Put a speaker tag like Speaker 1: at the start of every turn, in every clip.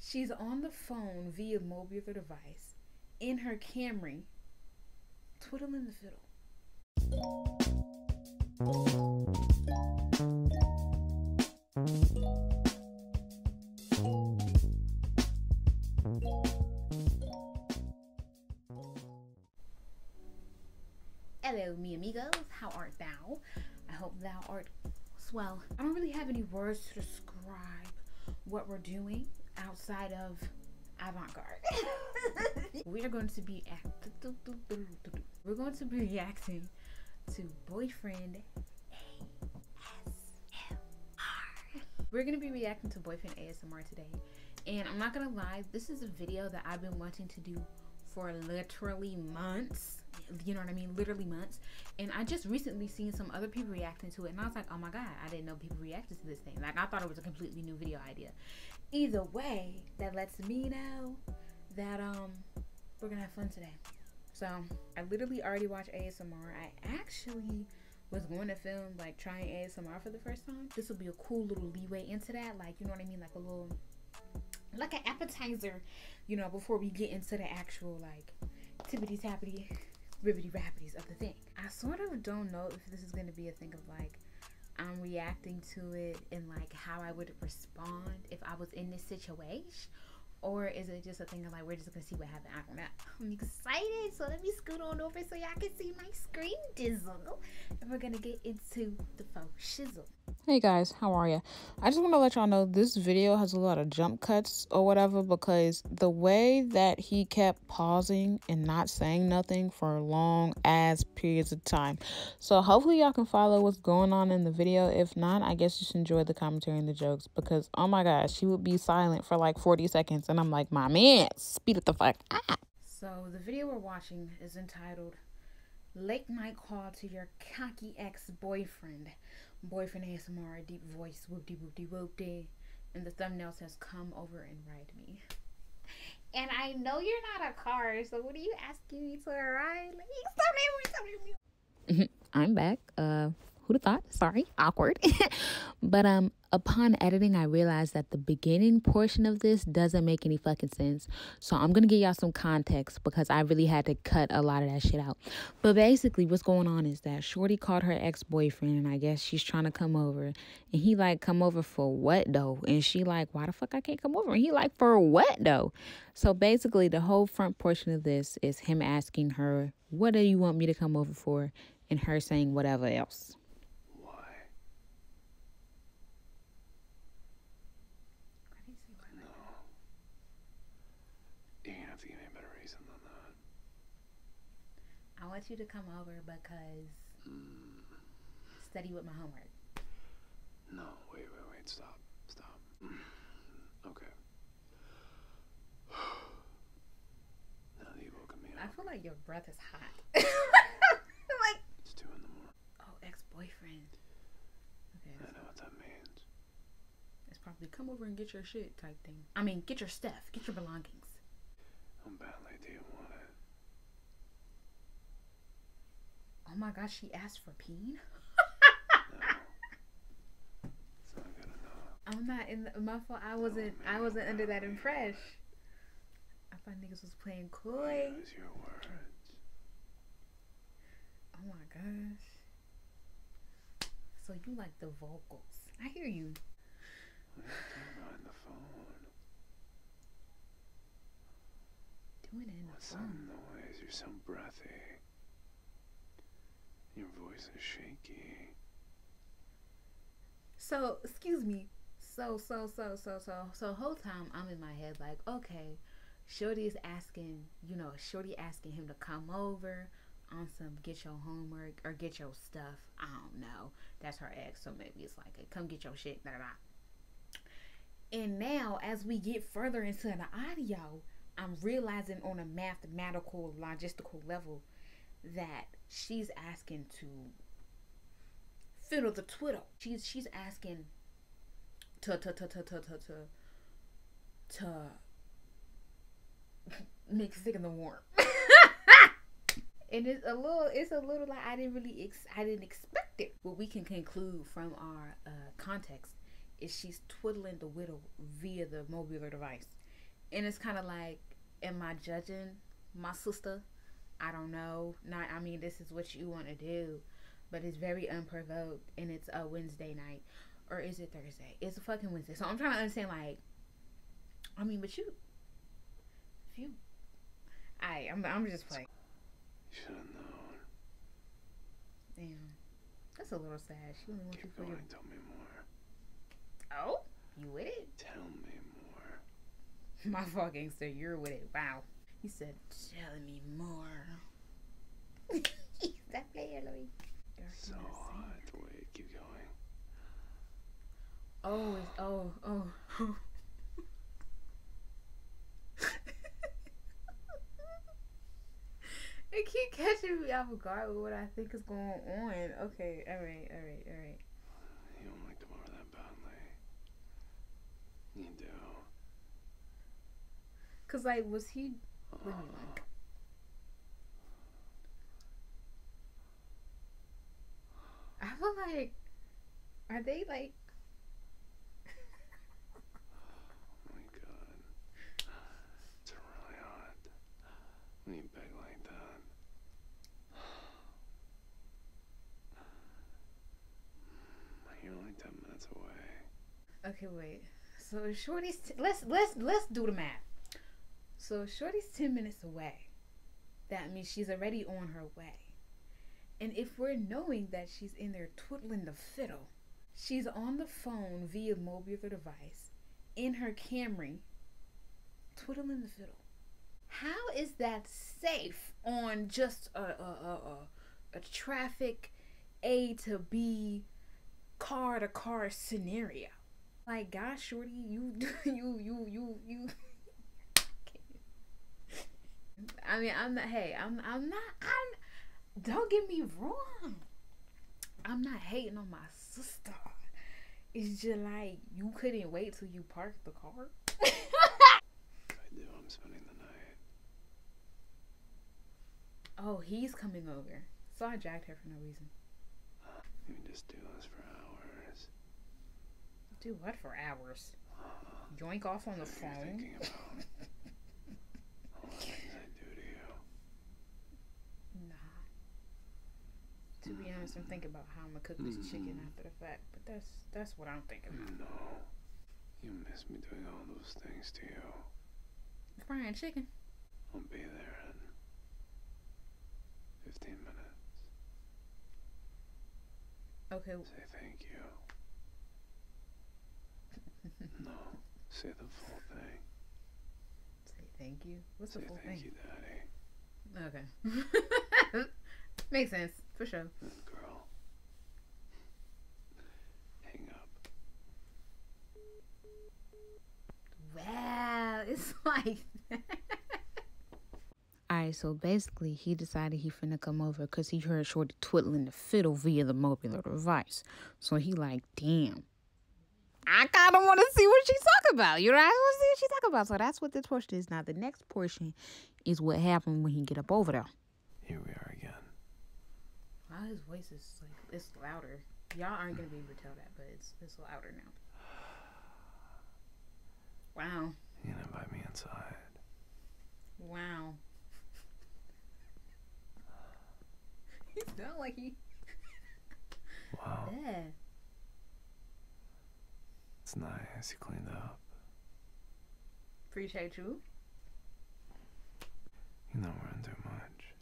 Speaker 1: She's on the phone via mobile device in her Camry, twiddling the fiddle. Hello, mi amigos. How art thou? I hope thou art well. I don't really have any words to describe what we're doing outside of avant-garde. we are going to be we're going to be reacting to boyfriend ASMR. We're gonna be reacting to boyfriend ASMR today. And I'm not gonna lie, this is a video that I've been wanting to do for literally months you know what I mean? Literally months. And I just recently seen some other people reacting to it, and I was like, oh my god, I didn't know people reacted to this thing. Like, I thought it was a completely new video idea. Either way, that lets me know that um we're gonna have fun today. So I literally already watched ASMR. I actually was going to film like trying ASMR for the first time. This will be a cool little leeway into that, like you know what I mean, like a little like an appetizer, you know, before we get into the actual like like tippity tappity, ribbity rappities of the thing. I sort of don't know if this is going to be a thing of like I'm reacting to it and like how I would respond if I was in this situation. Or is it just a thing of like we're just gonna see what happens? I don't know. I'm excited, so let me scoot on over so y'all can see my screen dizzle. And we're gonna get into the faux shizzle. Hey guys, how are you? I just want to let y'all know this video has a lot of jump cuts or whatever because the way that he kept pausing and not saying nothing for long ass periods of time. So hopefully y'all can follow what's going on in the video. If not, I guess you should enjoy the commentary and the jokes because oh my gosh, she would be silent for like 40 seconds and I'm like, my man, speed it the fuck up. So the video we're watching is entitled Late Night Call to Your Cocky Ex-Boyfriend boyfriend ASMR, deep voice, whoop dee whoop dee whoop dee, And the thumbnail says, Come over and ride me. And I know you're not a car, so what are you asking me to ride? I'm back. Uh, who'd have thought? Sorry, awkward. but um, upon editing, I realized that the beginning portion of this doesn't make any fucking sense. So I'm going to give y'all some context because I really had to cut a lot of that shit out. But basically, what's going on is that Shorty called her ex boyfriend, and I guess she's trying to come over. And he, like, come over for what, though? And she, like, why the fuck I can't come over? And he, like, for what, though? So basically, the whole front portion of this is him asking her, what do you want me to come over for? And her saying whatever else. I No.
Speaker 2: You're gonna have to give me a better reason than that.
Speaker 1: I want you to come over because mm. study with my homework.
Speaker 2: No, wait, wait, wait, stop, stop. okay. now
Speaker 1: that you've woken me up. I feel like your breath is hot. it's two in the morning. Oh, ex-boyfriend. Okay.
Speaker 2: I know what that means.
Speaker 1: It's probably come over and get your shit type thing. I mean, get your stuff, get your belongings.
Speaker 2: How badly do
Speaker 1: Oh my gosh, she asked for peen. no. I'm not in the, my fault. I wasn't. I wasn't under that impression. I thought niggas was playing coy. Oh my gosh. So you like the vocals. I hear you. Doing the phone. Doing it
Speaker 2: What's the Some noise. You are so breathy. Your voice is shaky.
Speaker 1: So, excuse me. So, so, so, so, so, so, whole time I'm in my head like, okay, Shorty is asking, you know, Shorty asking him to come over on some get your homework or get your stuff. I don't know. That's her ex, so maybe it's like, a, come get your shit. Blah, blah, blah. And now, as we get further into the audio, I'm realizing on a mathematical, logistical level that she's asking to fiddle the twiddle. She's she's asking to to to to to to to, to make sick in the warm. and it's a little it's a little like I didn't really ex- I didn't expect it. What we can conclude from our uh, context is she's twiddling the widow via the mobile device, and it's kind of like, am I judging my sister? I don't know. Not I mean, this is what you want to do, but it's very unprovoked and it's a Wednesday night or is it Thursday? It's a fucking Wednesday. So I'm trying to understand like I mean, but you if you I I'm I'm just playing. You should have known. Damn. That's a little sad. Keep you for your...
Speaker 2: tell me more.
Speaker 1: Oh? You with it? Tell me more. My fucking gangster, you're with it. Wow. He said, Tell me more.
Speaker 2: that player, Loic. So hot. keep going.
Speaker 1: Oh, it's, oh, oh. it keep catching me off guard with what I think is going on. Okay, alright, alright, alright. You do. Cause like, was he? Uh. I feel like, are they like?
Speaker 2: oh my god, it's really hot when you beg like that. You're only ten minutes away.
Speaker 1: Okay, wait. So Shorty's let's let's let's do the math. So Shorty's ten minutes away. That means she's already on her way. And if we're knowing that she's in there twiddling the fiddle, she's on the phone via mobile device in her Camry, twiddling the fiddle. How is that safe on just a, a, a, traffic A to B car to car scenario? Like, gosh, shorty, you, you, you, you, you. I mean, I'm not. Hey, I'm. I'm not. I'm. Don't get me wrong. I'm not hating on my sister. It's just like you couldn't wait till you parked the car. I do. I'm spending the night. Oh, he's coming over. So I dragged her for no reason.
Speaker 2: Uh, can just do this for hours.
Speaker 1: Do what for hours? Uh, off on the phone. to be honest, I'm thinking about how I'm gonna cook this hmm. chicken after the fact, but that's that's what I'm thinking.
Speaker 2: No. You miss me doing all those things to you.
Speaker 1: Fried chicken.
Speaker 2: I'll be there in 15 minutes. Okay. Say thank you. no. Say the full thing.
Speaker 1: Say thank you. What's the full thank thing? Thank you, Daddy. Okay. Makes sense, for sure. Girl girl. Hang up. Wow, it's like Alright, so basically he decided he finna come over because he heard Shorty twiddling the fiddle via the mobile device. So he like, damn. I kind of want to see what she's talking about. You know, I want to see what she's talking about. So that's what this portion is. Now, the next portion is what happened when he get up over there. Here we are again. Wow, his voice is like it's louder. Y'all aren't gonna be able to tell that, but it's it's louder now. Wow. You going invite me inside? Wow. He's not like he. Wow. Yeah.
Speaker 2: It's nice. You cleaned up.
Speaker 1: Appreciate you.
Speaker 2: You know we're under much.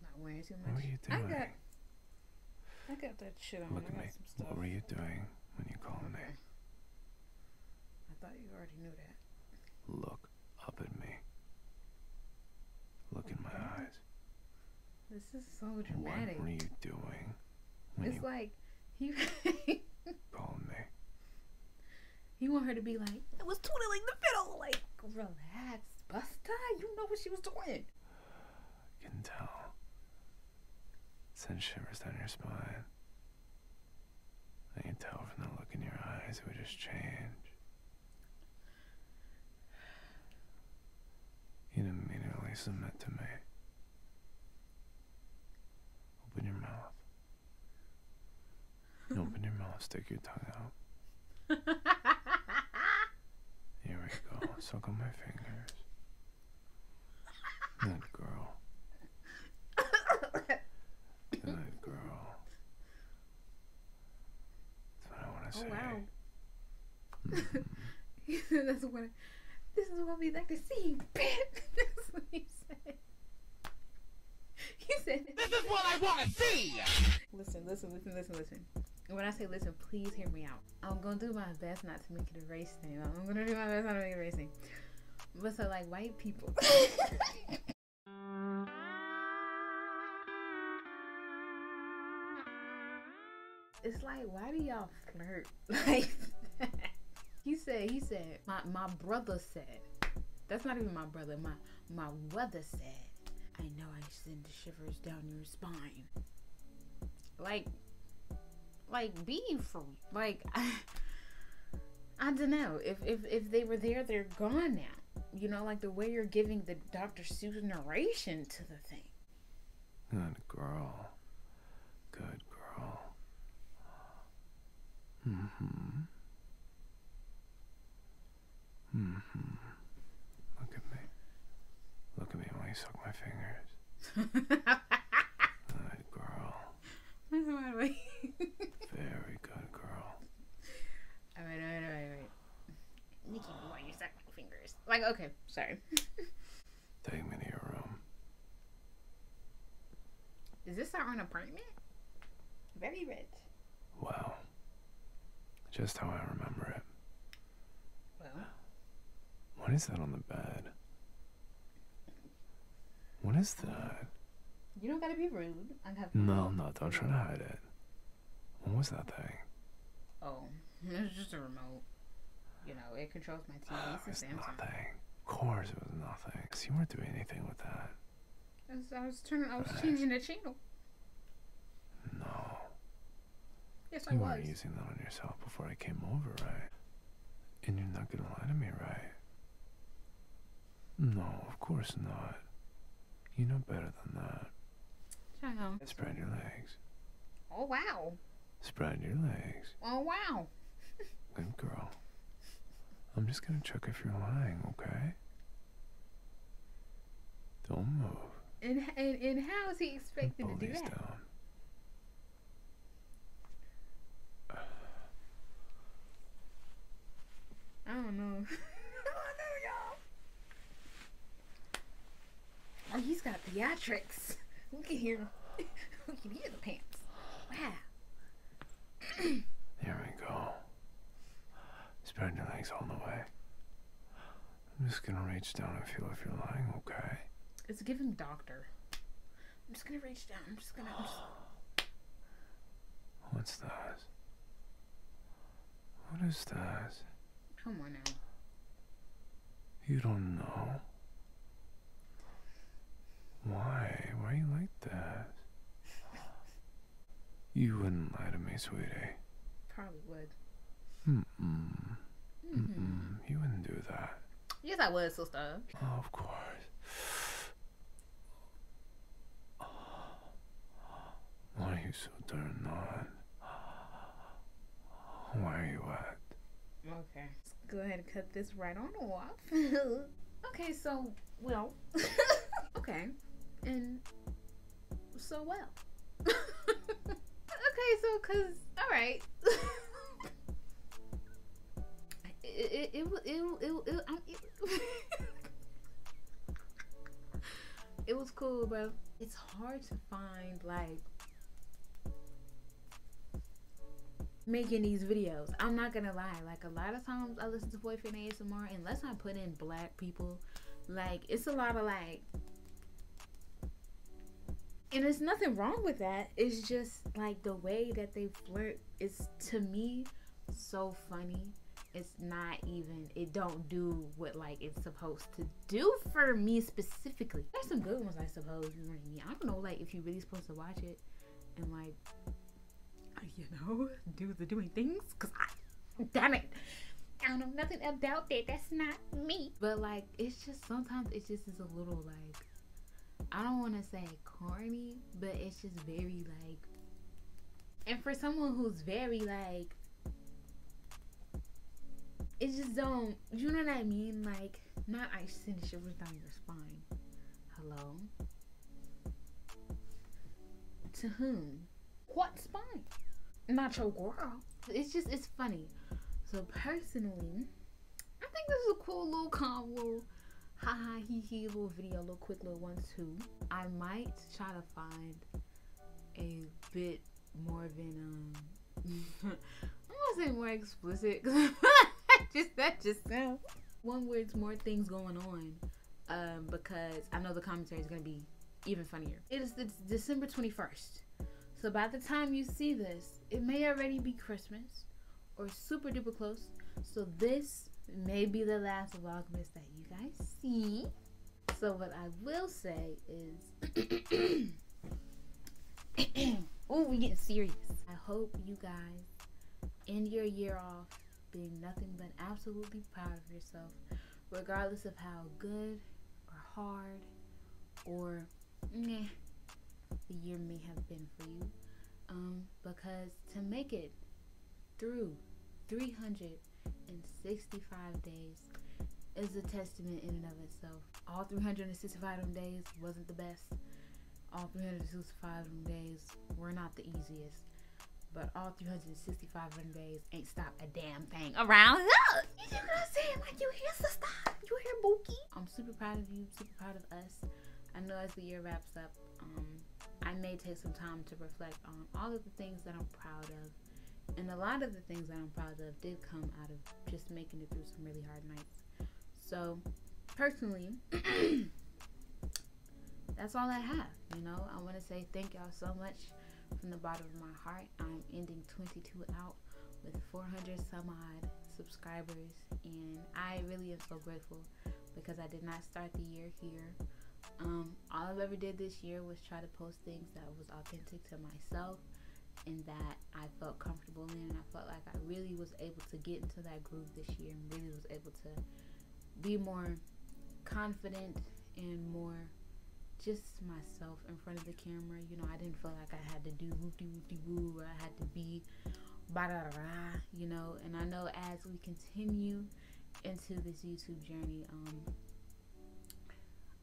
Speaker 1: Not wearing too much. What were you doing? I got, that shit on. Look at me. What were you doing
Speaker 2: when you called me? I
Speaker 1: thought you already knew that. Look up at me. Look in my eyes. This is so dramatic. What are you doing? It's like he called me. He want her to be like, I was twiddling the fiddle. Like, relax, Busta. You know what she was doing.
Speaker 2: I can tell. Send shivers down your spine. I can tell from the look in your eyes it would just change. You'd immediately submit to me. Open your mouth. open your mouth, stick your tongue out. Here we go. Suck on my fingers. Good girl.
Speaker 1: Good girl. That's what I want to oh, say. wow. Mm. That's what. this is what we like to see, bitch. he said. He said. This is what I want to see. Listen, listen, listen, listen, listen. When I say listen, please hear me out. I'm gonna do my best not to make it a race thing. I'm gonna do my best not to make it a race thing. But so like white people. It's like, why do y'all flirt like He said, he said, my, my brother said, that's not even my brother, my, my brother said, I know I send the shivers down your spine. Like, like be like, I, I don't know. If, if, if they were there, they're gone now. You know, like the way you're giving the Dr. Seuss narration to the.
Speaker 2: Good girl. Good girl. Mm-hmm. Mm-hmm. Look at me. Look at me while you suck my fingers. good girl. Very good girl. All right, all right, all right,
Speaker 1: Nikki, why you suck my fingers? Like, okay, sorry. Take me to your room. Is this our own apartment? Very rich.
Speaker 2: Wow. Just how I remember it. Well. What is that on the bed? What is that?
Speaker 1: You don't gotta be rude. I have. No,
Speaker 2: no, don't try to hide it. What was that thing?
Speaker 1: Oh, it was just a remote. You know, it controls my TV. Oh, ah, it's nothing. Of
Speaker 2: course, it was nothing. Cause you weren't doing anything with that.
Speaker 1: I was turning, I was changing the channel.
Speaker 2: No. Yes, I you was. You weren't using that on yourself before I came over, right? And you're not gonna lie to me, right? No, of course not. You know better than that. Shut Spread your legs.
Speaker 1: Oh, wow.
Speaker 2: Spread your legs.
Speaker 1: Oh, wow.
Speaker 2: Good girl. I'm just gonna check if you're lying, okay? Don't move.
Speaker 1: And, and, and how is he expecting to do that? I don't know. I know, y'all. Oh, he's got theatrics. Look at him. Look at his pants. Wow.
Speaker 2: there we go. Spread your legs all the way. I'm just gonna reach down and feel if you're lying, okay?
Speaker 1: It's a given doctor. I'm just gonna reach down. I'm just gonna. i
Speaker 2: What's that? What is that? Come on now. You don't know. Why? Why are you like that? you wouldn't lie to me, sweetie. Probably would. Mm mm. You wouldn't do that.
Speaker 1: Yes, I would, sister.
Speaker 2: Oh, of course. Why are you so turned on?
Speaker 1: Where are you at? Okay. Let's go ahead and cut this right on off. okay, so, well. okay. And so well. okay, so, cause, alright. it, it, it, it, it, it was cool, bro. It's hard to find like making these videos. I'm not gonna lie. Like a lot of times I listen to boyfriend ASMR unless I put in black people. Like it's a lot of like and there's nothing wrong with that. It's just like the way that they flirt is to me so funny it's not even it don't do what like it's supposed to do for me specifically there's some good ones i suppose you know what i mean i don't know like if you're really supposed to watch it and like uh, you know do the doing things because i damn it i don't know nothing about that that's not me but like it's just sometimes it just is a little like i don't want to say corny but it's just very like and for someone who's very like it just don't you know what I mean? Like not ice sending shivers down your spine. Hello? To whom? What spine? Not your girl. It's just it's funny. So personally, I think this is a cool little combo. ha, hee hee, little video, little quick little one too. I might try to find a bit more of um I'm gonna say more explicit just that just sounds one where it's more things going on um, because I know the commentary is gonna be even funnier. It is December 21st. So by the time you see this, it may already be Christmas or super duper close. So this may be the last Vlogmas that you guys see. So what I will say is, oh, we getting serious. I hope you guys end your year off being nothing but absolutely proud of yourself, regardless of how good or hard or meh the year may have been for you. Um, because to make it through 365 days is a testament in and of itself. All 365 of them days wasn't the best. All 365 of them days were not the easiest. But all 365 of them days ain't stopped a damn thing around. Look! You get what i you hear sister. I'm super proud of you, super proud of us. I know as the year wraps up, um, I may take some time to reflect on all of the things that I'm proud of. And a lot of the things that I'm proud of did come out of just making it through some really hard nights. So, personally, that's all I have. You know, I want to say thank y'all so much from the bottom of my heart. I'm ending 22 out with 400 some odd subscribers, and I really am so grateful because I did not start the year here. Um, all I've ever did this year was try to post things that was authentic to myself and that I felt comfortable in. And I felt like I really was able to get into that groove this year and really was able to be more confident and more just myself in front of the camera. You know, I didn't feel like I had to do whoop de whoop de woo, I had to be ba da da, you know. And I know as we can continue into this YouTube journey. Um,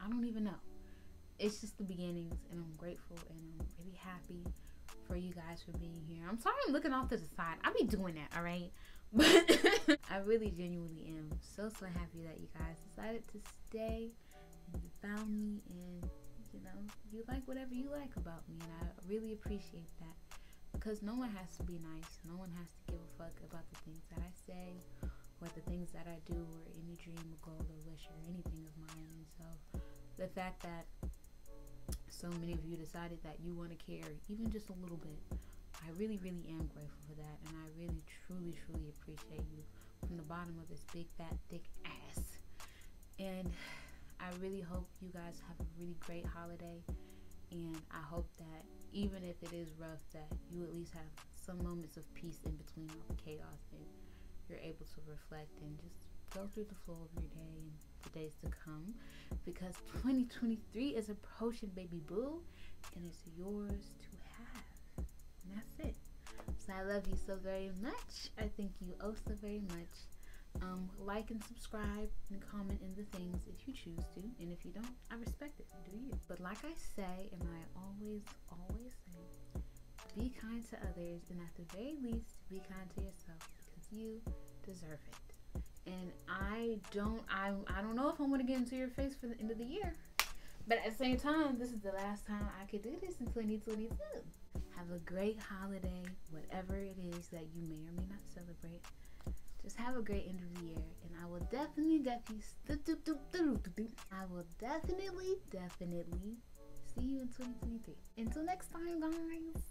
Speaker 1: I don't even know. It's just the beginnings, and I'm grateful and I'm really happy for you guys for being here. I'm sorry I'm looking off to the side. I'll be doing that, all right? But I really genuinely am so, so happy that you guys decided to stay and you found me and, you know, you like whatever you like about me. And I really appreciate that because no one has to be nice. No one has to give a fuck about the things that I say or the things that I do or any dream or goal or wish or anything of mine. And so the fact that so many of you decided that you want to care even just a little bit, I really, really am grateful for that. And I really, truly, truly appreciate you from the bottom of this big, fat, thick ass and I really hope you guys have a really great holiday. And I hope that even if it is rough, that you at least have some moments of peace in between all the chaos and you're able to reflect and just go through the flow of your day and the days to come because 2023 is approaching, baby boo, and it's yours to have. And that's it. So I love you so very much. I thank you oh so very much. Um, like and subscribe and comment in the things if you choose to. And if you don't, I respect it. Do you? But like I say, and I always, always say, be kind to others and at the very least, be kind to yourself because you deserve it. And I don't, I, I don't know if I'm gonna get into your face for the end of the year. But at the same time, this is the last time I could do this in 2022. Have a great holiday, whatever it is that you may or may not celebrate. Just have a great end of the year, and I will definitely, definitely, I will definitely, definitely see you in 2023. Until next time, guys.